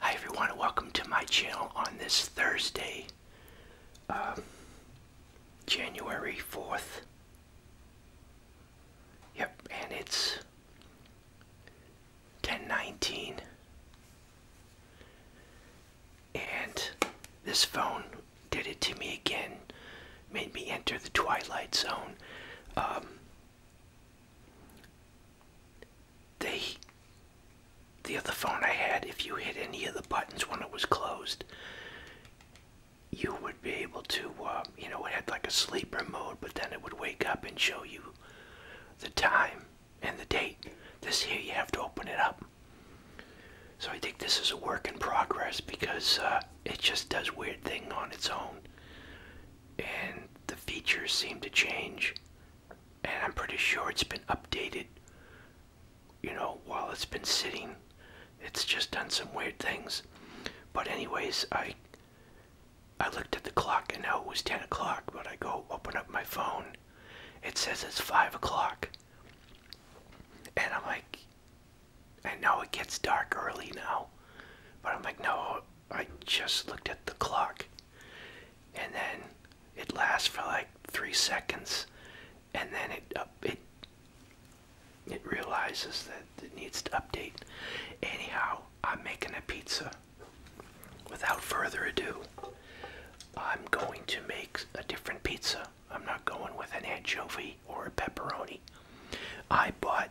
Hi everyone, welcome to my channel on this Thursday, um, January 4th. Yep, and it's 1019. And this phone did it to me again, made me enter the twilight zone. Um, they the other phone I had, if you hit any of the buttons when it was closed, you would be able to, um, you know, it had like a sleeper mode, but then it would wake up and show you the time and the date. This here, you have to open it up. So I think this is a work in progress because uh, it just does weird thing on its own and the features seem to change. And I'm pretty sure it's been updated, you know, while it's been sitting. It's just done some weird things. But anyways, I I looked at the clock and now it was 10 o'clock, but I go open up my phone. It says it's 5 o'clock. And I'm like, I know it gets dark early now, but I'm like, no, I just looked at the clock. And then it lasts for like three seconds, and then it it it realizes that it needs to update. Anyhow, I'm making a pizza. Without further ado, I'm going to make a different pizza. I'm not going with an anchovy or a pepperoni. I bought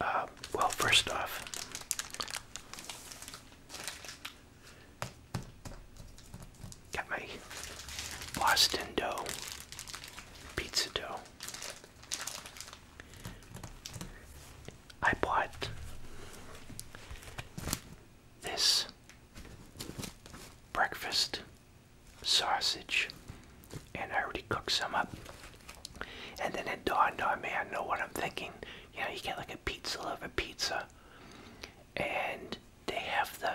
uh, well, first off, got my Boston dough, pizza dough. I bought this breakfast sausage and I already cooked some up. And then it dawned on oh me, I know what I'm thinking you you get like a pizza lover pizza, and they have the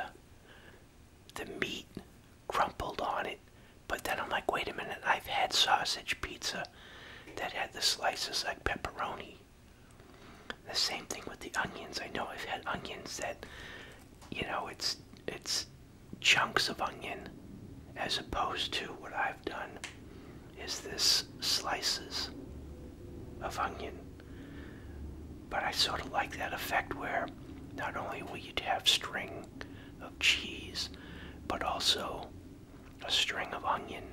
the meat crumpled on it. But then I'm like, wait a minute, I've had sausage pizza that had the slices like pepperoni. The same thing with the onions. I know I've had onions that, you know, it's it's chunks of onion as opposed to what I've done is this slices of onion. But I sort of like that effect where not only will you have string of cheese, but also a string of onion.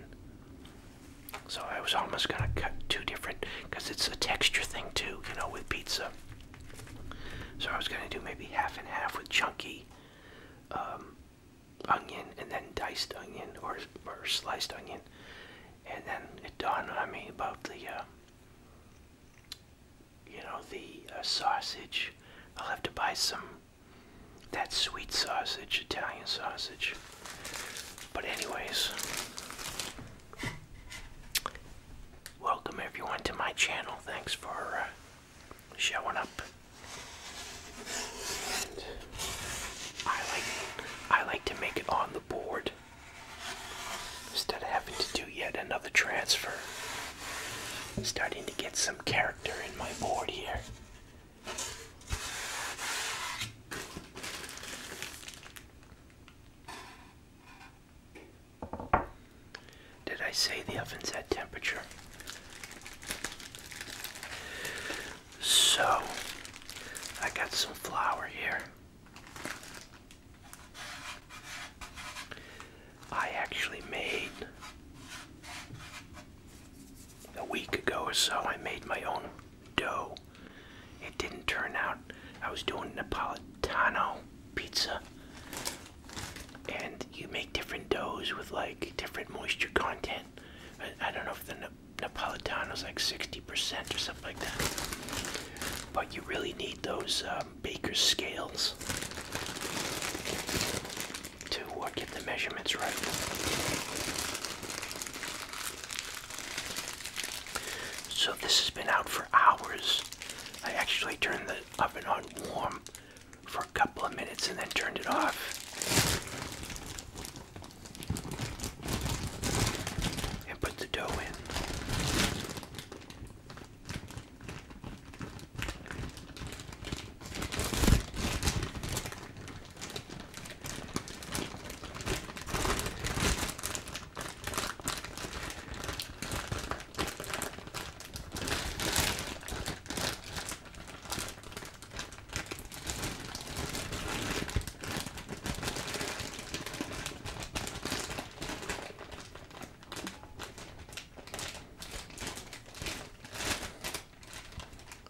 So I was almost gonna cut two different, because it's a texture thing too, you know, with pizza. So I was gonna do maybe half and half with chunky um, onion and then diced onion or, or sliced onion. And then it dawned I mean about the, um, you know, the uh, sausage. I'll have to buy some, that sweet sausage, Italian sausage. But anyways, welcome everyone to my channel. Thanks for uh, showing up. I like I like to make it on the board instead of to do yet another transfer. starting to get some character in my board here. Did I say the oven's at temperature? So, I got some flour here. I actually made a week ago or so, I made my own dough. It didn't turn out. I was doing Napolitano pizza. And you make different doughs with like different moisture content I, don't know if the Na Napolitano's like 60% or something like that. But you really need those um, baker's scales to uh, get the measurements right. So this has been out for hours. I actually turned the oven on warm for a couple of minutes and then turned it off and put the dough in.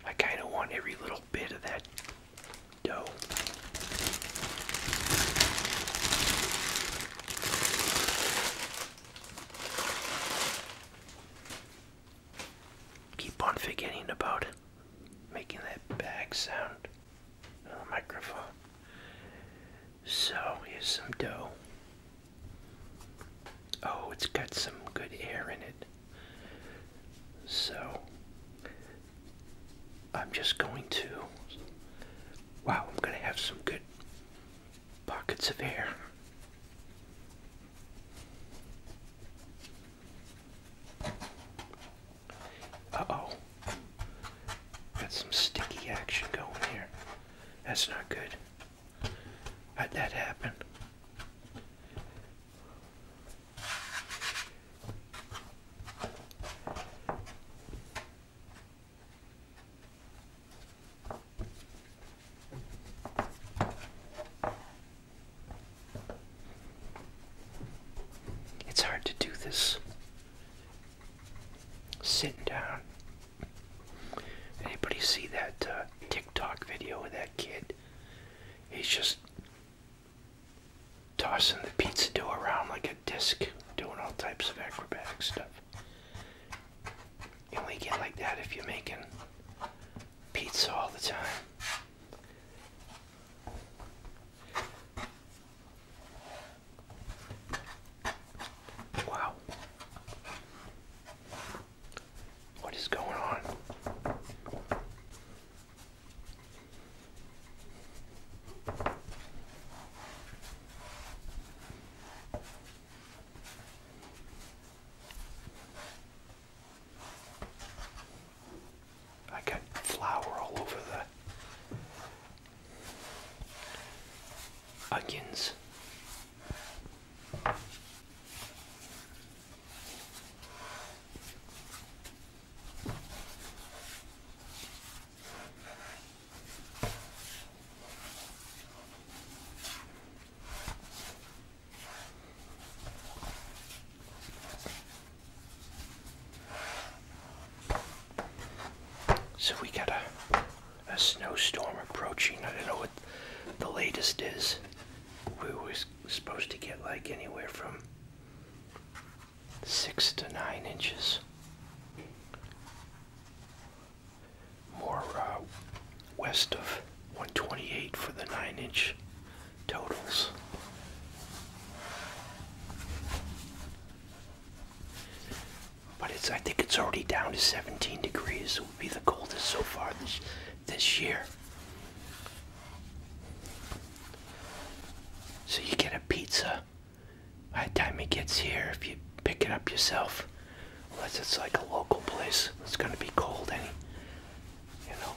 I kind of want every little bit of that dough keep on forgetting about making that bag sound on the microphone. So here's some dough. Oh, it's got some good air in it. So I'm just going to. Wow, I'm going to have some good pockets of air. Uh-oh. Got some sticky action going here. That's not good. How'd that happen? It's hard to do this sitting down. Anybody see that uh, TikTok video of that kid? He's just tossing the pizza dough around like a disc, doing all types of acrobatic stuff. You only get like that if you're making pizza all the time. Wow. What is going on? I got flour all over the onions. So we got a, a snowstorm approaching. I don't know what the latest is. We were supposed to get like anywhere from six to nine inches. More uh, west of 128 for the 9 inch totals. But it's I think it's already down to 17 degrees. It will be the coldest so far this this year. So you get a pizza by the time it gets here if you pick it up yourself. Unless it's like a local place. It's gonna be cold any you know.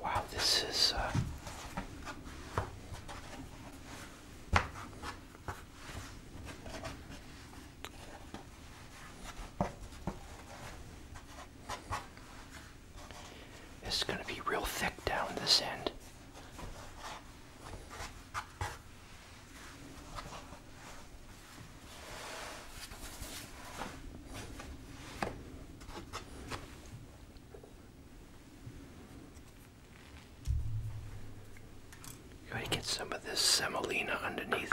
Wow, this is uh, it's going to be real thick down this end. Gotta get some of this semolina underneath.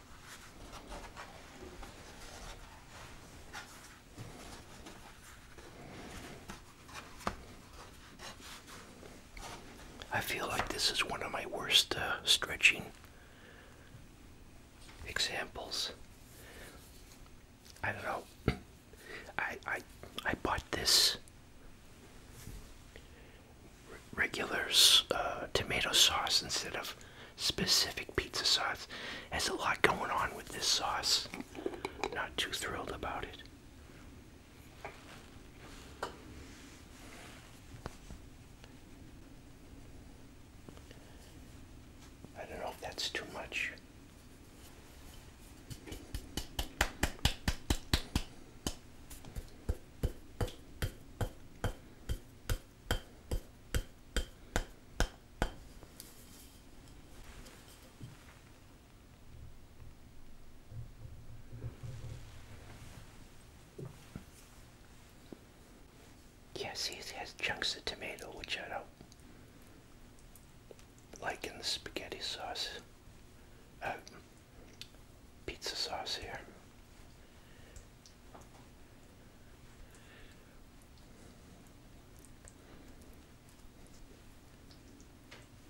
I feel like this is one of my worst uh, stretching examples. I don't know. I I I bought this regular uh, tomato sauce instead of specific pizza sauce. Has a lot going on with this sauce. Not too thrilled about it. I don't know if that's too much. Yes, he has chunks of tomato, which I don't like in the spaghetti sauce, uh, pizza sauce here.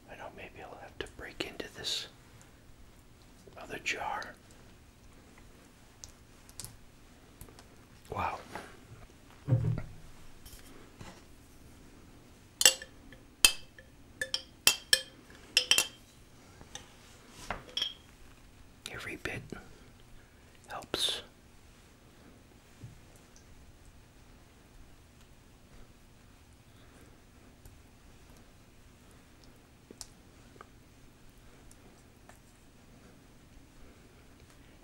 I do know maybe I'll have to break into this other jar. Wow. Every bit helps.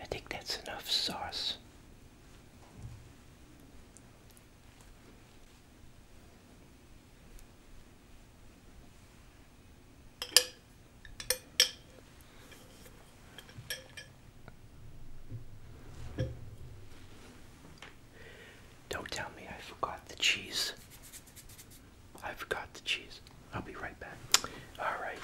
I think that's enough sauce. Don't tell me I forgot the cheese. I forgot the cheese. I'll be right back. All right.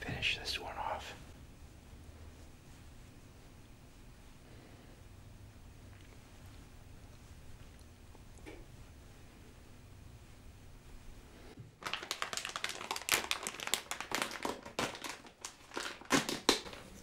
Finish this one off.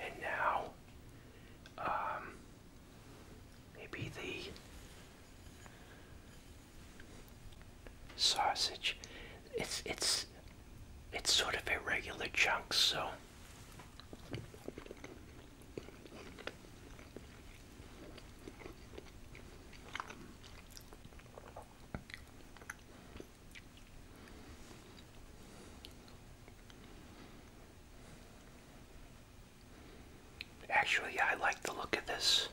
And now, um, maybe the sausage. It's it's it's sort of irregular chunks, so. Actually, I like the look of this.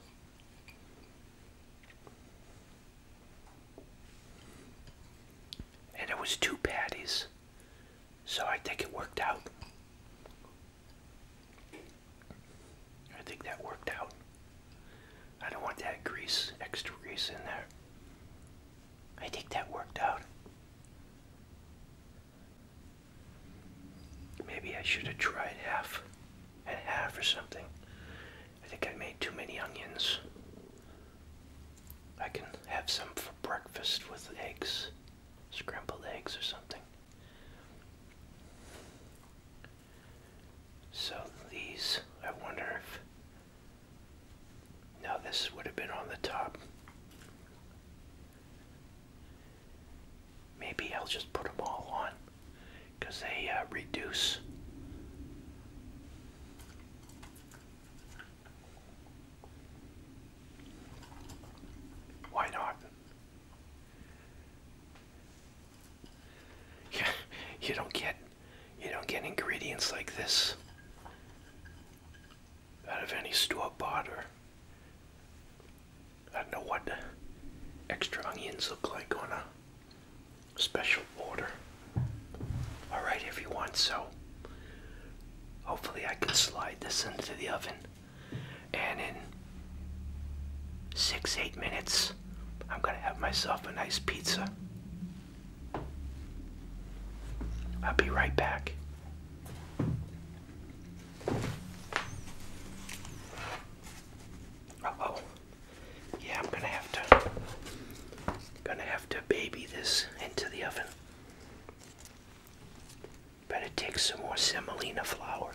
And it was two patties, so I think it worked out. I think that worked out. I don't want that grease, extra grease in there. I think that worked out. Maybe I should have tried half and half or something. I think I made too many onions. I can have some for breakfast with eggs, scrambled eggs or something. So these, I wonder if. Now this would have been on the top. Maybe I'll just put them all on because they uh, reduce. Why not? Yeah, you don't get you don't get ingredients like this out of any store bought or I don't know what extra onions look like on a special order. Alright everyone, so hopefully I can slide this into the oven and in six, eight minutes, I'm gonna have myself a nice pizza. I'll be right back. oh. Yeah, I'm gonna have to gonna have to baby this into the oven. Better take some more semolina flour.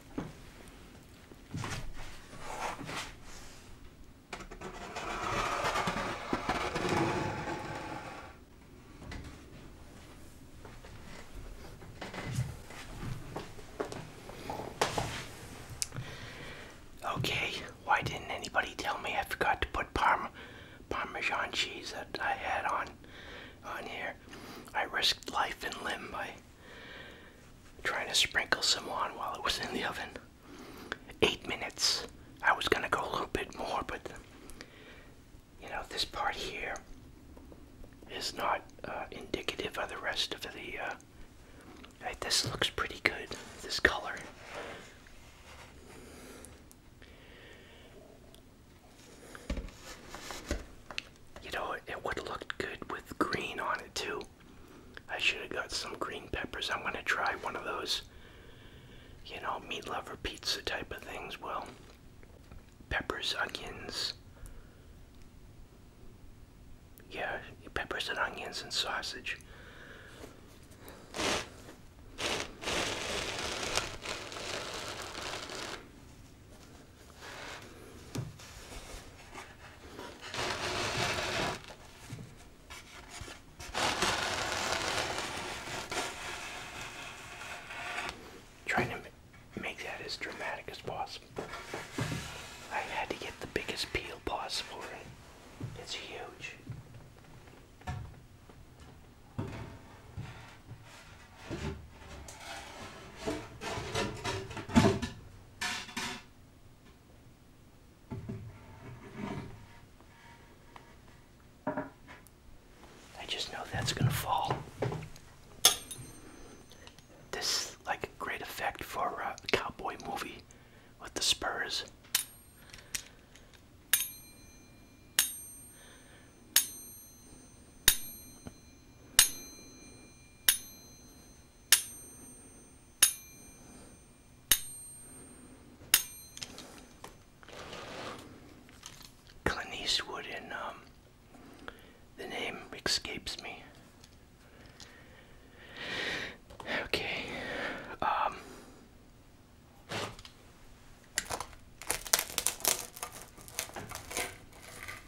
Okay, why didn't anybody tell me I forgot to put parmesan cheese that I had on on here? I risked life and limb by Trying to sprinkle some on while it was in the oven. Eight minutes. I was gonna go a little bit more, but you know, this part here is not uh, indicative of the rest of the. Uh, this looks pretty good, this color. You know, it would look good with green on it too. I should have got some green peppers. I'm going to try one of those, you know, meat lover pizza type of things. Well, peppers, onions. Yeah, peppers and onions and sausage. Trying to make that as dramatic as possible. I had to get the biggest peel possible. It's huge. I just know that's going to fall. This is like a great effect for a cowboy movie with the spurs. Clint Eastwood in um, the name escapes me. Okay. Um.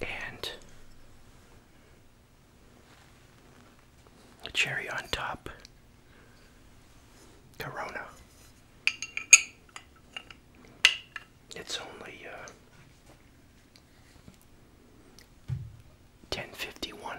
and a cherry on top. Corona. It's only uh, ten fifty one.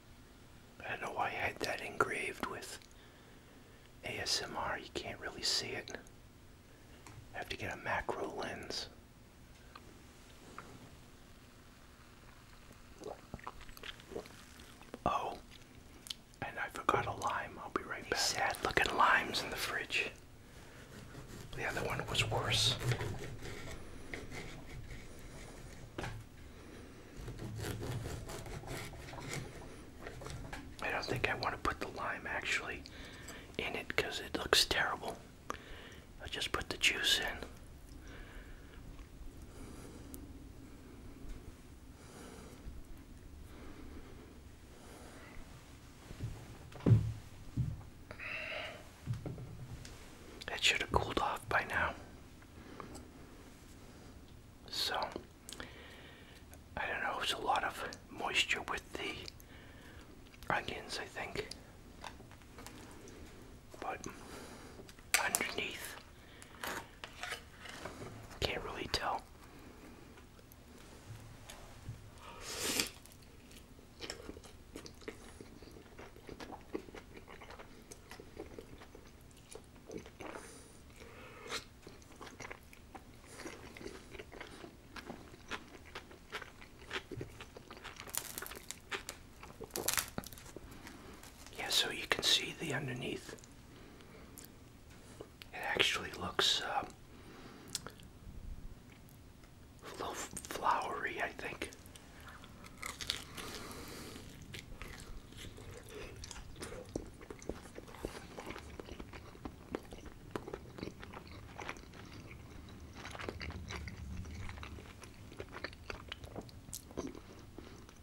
I don't know why I had that engraved with ASMR. You can't really see it. I have to get a macro lens. Oh, and I forgot a lime. I'll be right back. Sad looking limes in the fridge. The other one was worse. I don't think I want to put the lime actually in it because it looks terrible. i just put the juice in. It should have cooled off by now. So I don't know, it's a lot of moisture with the onions, I think. But underneath, can't really tell. Yeah, so you can see the underneath. It actually looks uh, a little flowery, I think.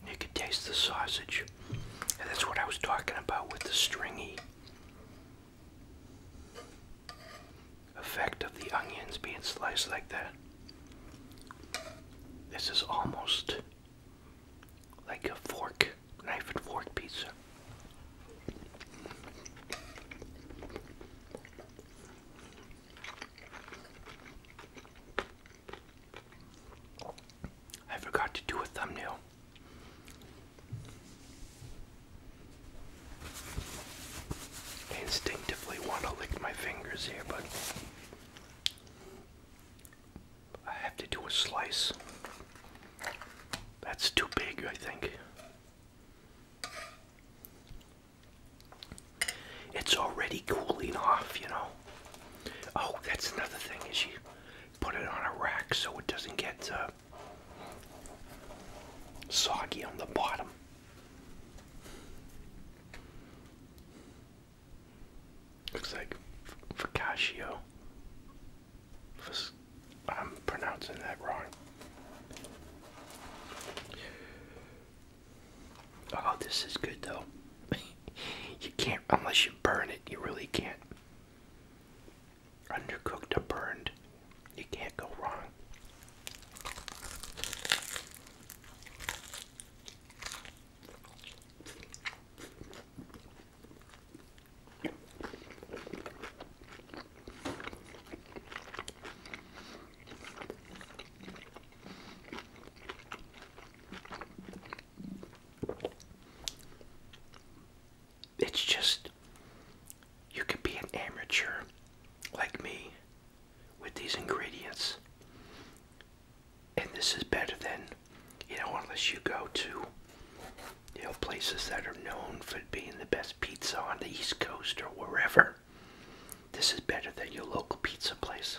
You can taste the sausage. that's what I was talking about with the stringy effect of the onions being sliced like that. This is almost like a fork, knife and fork pizza. I forgot to do a thumbnail. I instinctively want to lick my fingers here, but I have to do a slice. That's too big, I think. It's already cooling off, you know. Oh, that's another thing is you put it on a rack so it doesn't get uh, soggy on the bottom. Looks like focaccia. I'm pronouncing that wrong. Oh, this is good though. you can't, unless you burn it, you really can't. Undercooked or burned, you can't go wrong. It's just, you can be an amateur like me with these ingredients and this is better than you know unless you go to you know places that are known for being the best pizza on the east coast or wherever this is better than your local pizza place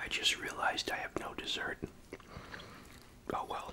I just realized I have no dessert. Oh well.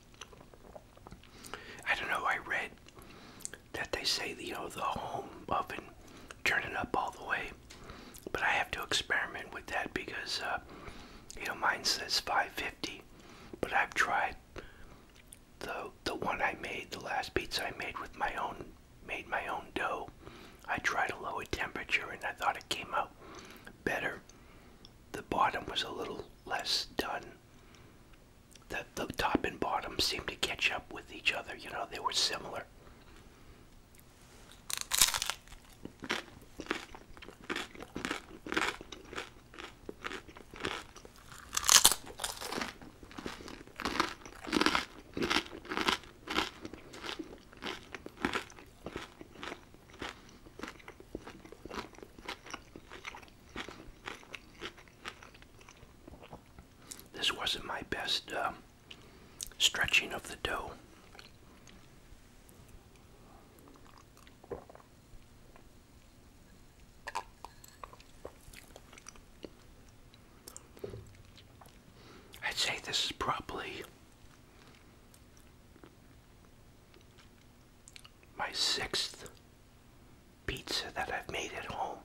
I don't know, I read that they say, you know, the home oven, turn up all the way. But I have to experiment with that because, uh, you know, mine says 550. But I've tried the, the one I made, the last pizza I made with my own, made my own dough. I tried a lower temperature and I thought it came out better the bottom was a little less done. The, the top and bottom seemed to catch up with each other, you know, they were similar. This wasn't my best uh, stretching of the dough. I'd say this is probably my sixth pizza that I've made at home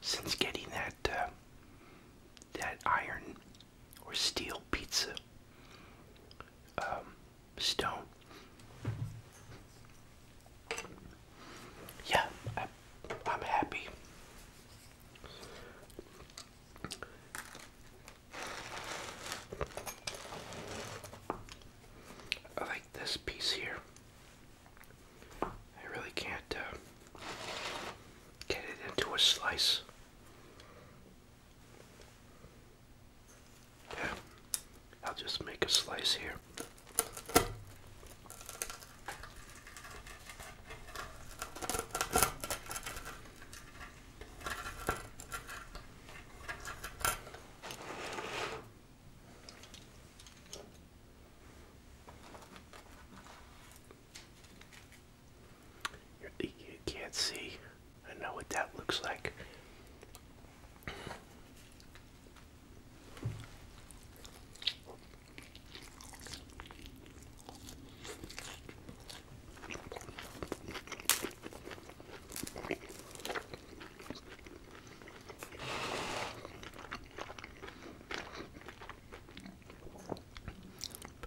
since getting that uh, that iron or steel pizza um, stone. Yeah, I'm happy. I like this piece here. I really can't uh, get it into a slice. Yeah, I'll just make a slice here. You can't see. I know what that looks like.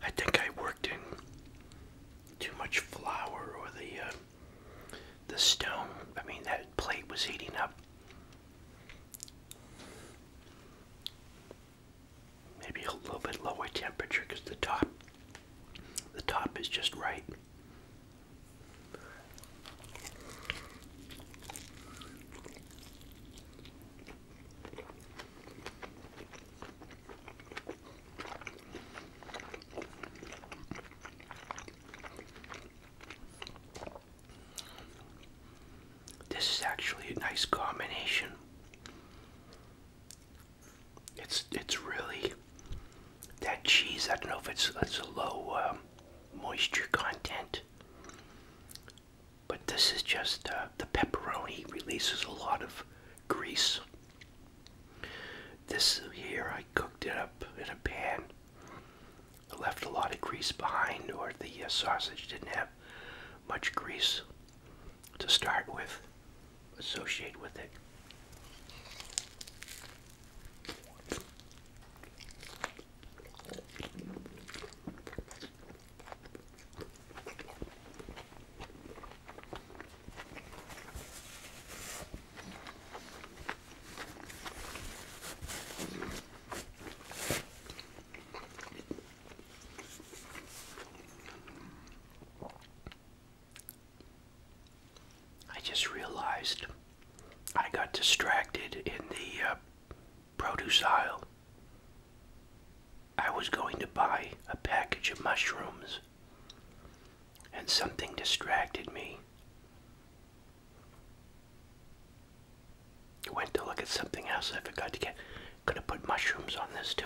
I think I worked in too much flour or the uh, the stone. I mean that plate was heating up. Maybe a little bit lower temperature because the top the top is just right. This is actually a nice combination it's it's really that cheese. I don't know if it's it's a low um, moisture content, but this is just uh, the pepperoni releases a lot of grease. This here, I cooked it up in a pan. I left a lot of grease behind, or the uh, sausage didn't have much grease to start with associate with it. I just realized I got distracted in the uh, produce aisle. I was going to buy a package of mushrooms, and something distracted me. Went to look at something else I forgot to get. Could have put mushrooms on this too.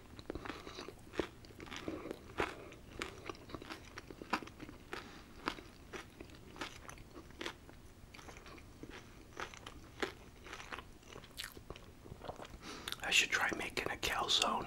I should try making a calzone.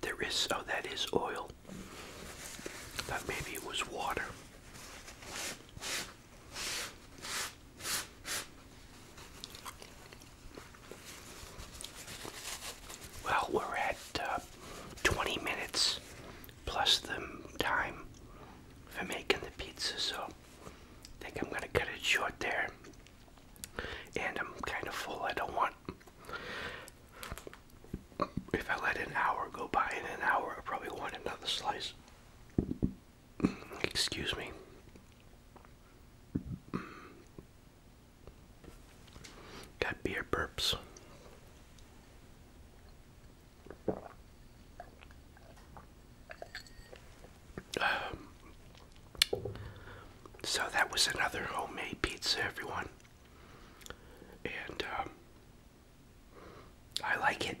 There is, oh, that is oil. Thought maybe it was water. Well, we're at uh, 20 minutes plus the time for making the pizza, so I think I'm going to cut it short there. And I'm kind of full. I don't want. If I let an hour go by, in an hour, I probably want another slice. Excuse me. Got beer burps. Um, so that was another homemade pizza, everyone. And um, I like it.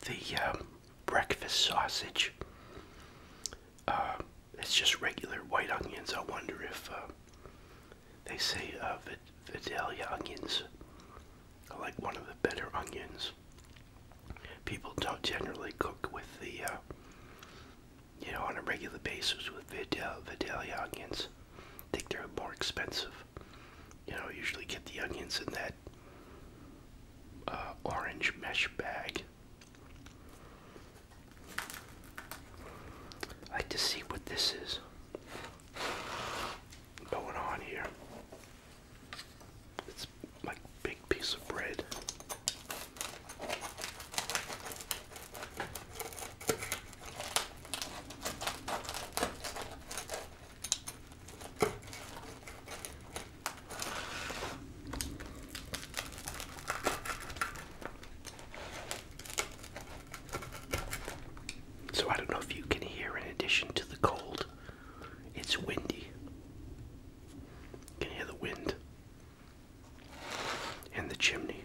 The um, breakfast sausage. Uh, it's just regular white onions. I wonder if uh, they say uh, Vidalia onions. I like one of the better onions. People don't generally cook with the uh, you know, on a regular basis with Vidalia onions. think they're more expensive. You know, usually get the onions in that uh, orange mesh bag. I like to see what this is going on here. It's like big piece of bread. So, I don't know if you can hear, in addition to the cold, it's windy. You hear the wind and the chimney.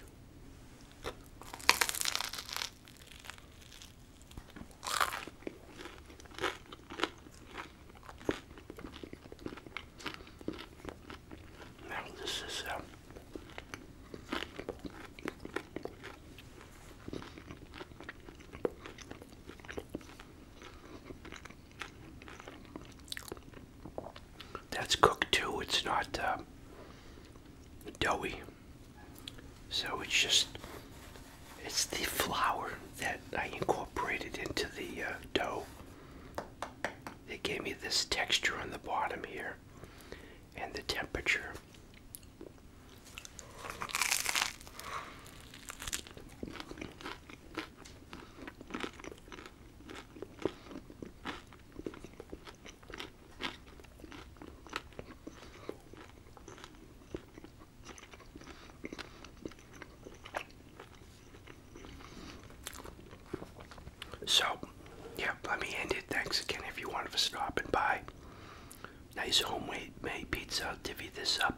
Now, this is uh, that's cooked too. It's not uh, doughy. So it's just, it's the flour that I incorporated into the uh, dough. It gave me this texture on the bottom here and the temperature. So, yeah, let me end it. Thanks again if you wanted for stopping by. Nice homemade pizza. divvy this up.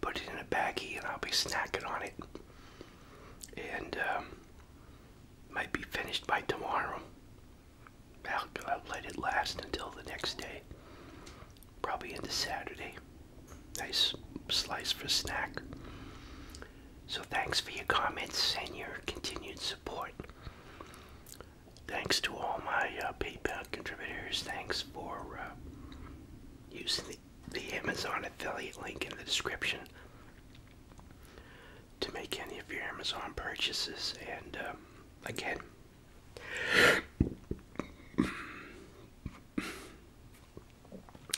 Put it in a baggie and I'll be snacking on it and um, might be finished by tomorrow. I'll, let it last until the next day, probably into Saturday. Nice slice for snack. So thanks for your comments and your continued support. Thanks to all my uh, PayPal contributors. Thanks for uh, using the the, Amazon affiliate link in the description to make any of your Amazon purchases. And um, again,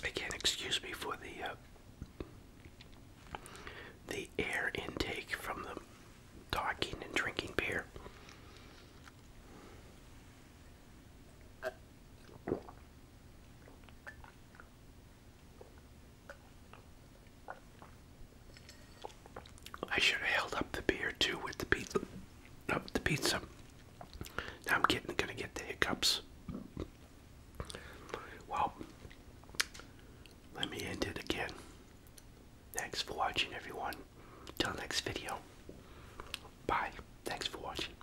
again, excuse me for the uh, the air intake from the talking and drinking beer. I should have held up the beer too with the pizza. Up the pizza. I'm getting gonna get the hiccups. Well, let me end it again. Thanks for watching, everyone. Until next video. Bye. Thanks for watching.